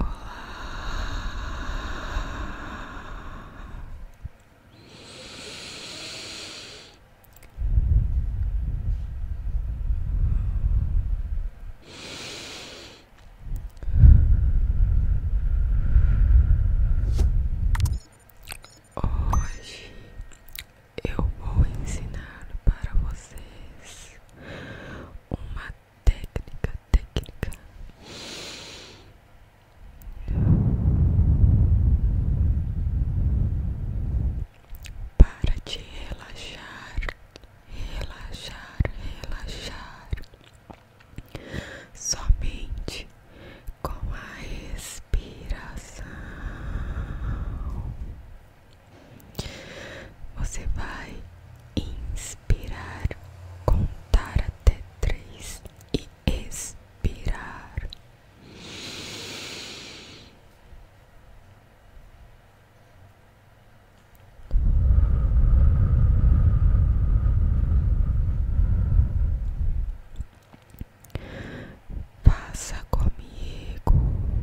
Olá. Hoje eu vou ensinar para vocês uma técnica, técnica. Para te relaxar, relaxar, relaxar. Somente com a respiração. Você vai inspirar, contar até três e expirar. Faça comigo.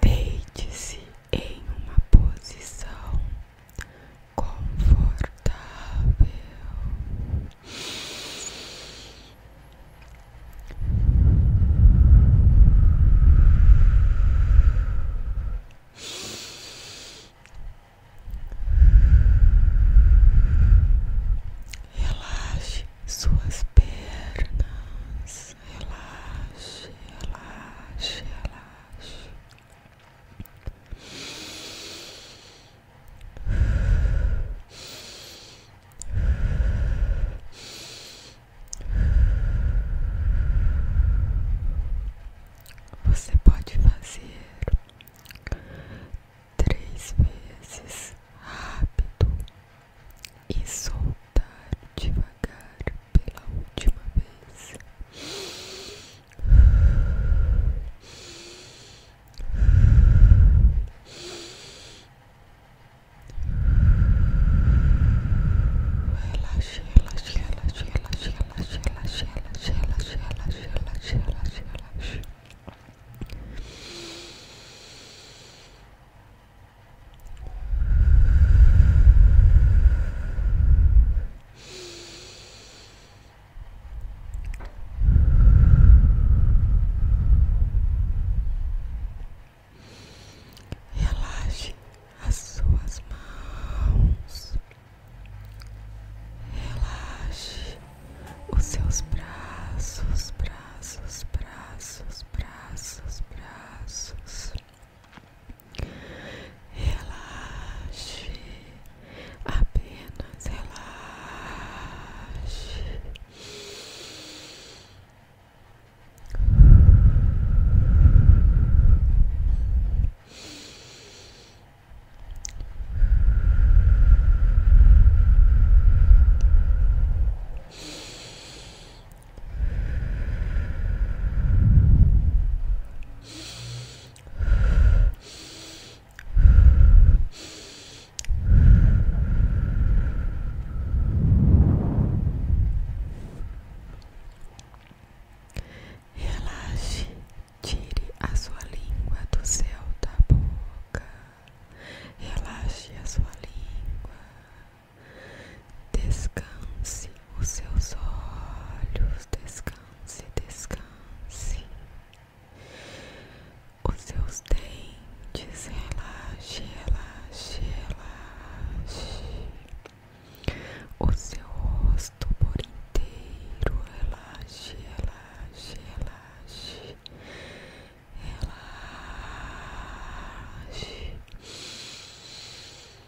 Deite-se em uma posição confortável. Relaxe suas pernas, relaxe, relaxe, relaxe. Você pode fazer três vezes rápido e soltar devagar pela última vez. Relaxa, relaxa, relaxa, relaxa, relaxa, relaxa, relaxa, relaxa, relaxa, relaxa, relaxa, Relaxe as suas mãos, relaxe os seus braços, braços, braços, braços, braços. Relaxe, apenas relaxe. Relaxe, tire a sua língua do céu da boca. Relaxe a sua língua. Descanse os seus olhos, descanse, descanse. Os seus dentes, relaxe, relaxe, relaxe. O seu rosto por inteiro, relaxe, relaxe, relaxe. Relaxe.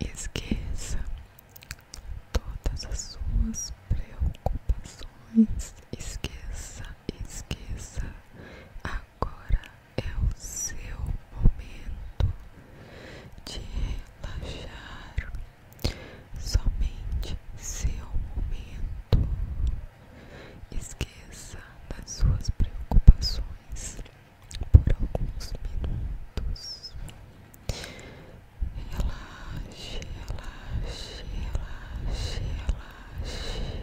Esqueça todas as suas preocupações. Esqueça, esqueça. Agora é o seu momento de relaxar somente seu momento. Esqueça das suas preocupações por alguns minutos. Relaxe, relaxe, relaxe, relaxe. relaxe, relaxe, relaxe, relaxe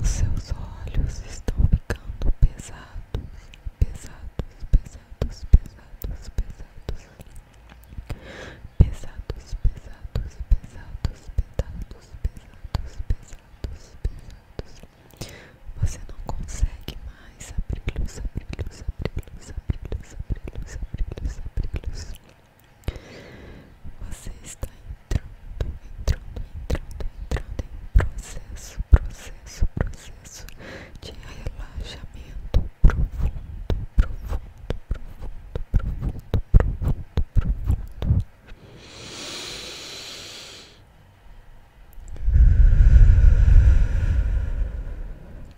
Os seus olhos estão ficando pesados, pesados, pesados, pesados, pesados, pesados, pesados, pesados, pesados, pesados, pesados, pesados. Você não consegue mais mais, abre luz, abre luz, abre luz, Você está entrando, entrando, entrando, entrando em processo, processo, processo de relaxamento profundo, profundo, profundo, profundo, profundo, profundo.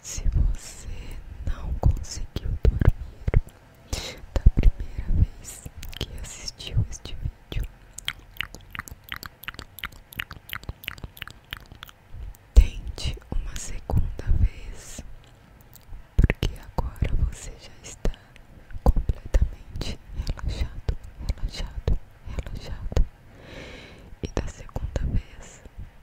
Se você não conseguiu dormir da primeira vez que assistiu este vídeo, tente uma segunda vez, porque agora você já está completamente relaxado, relaxado, relaxado. E da segunda vez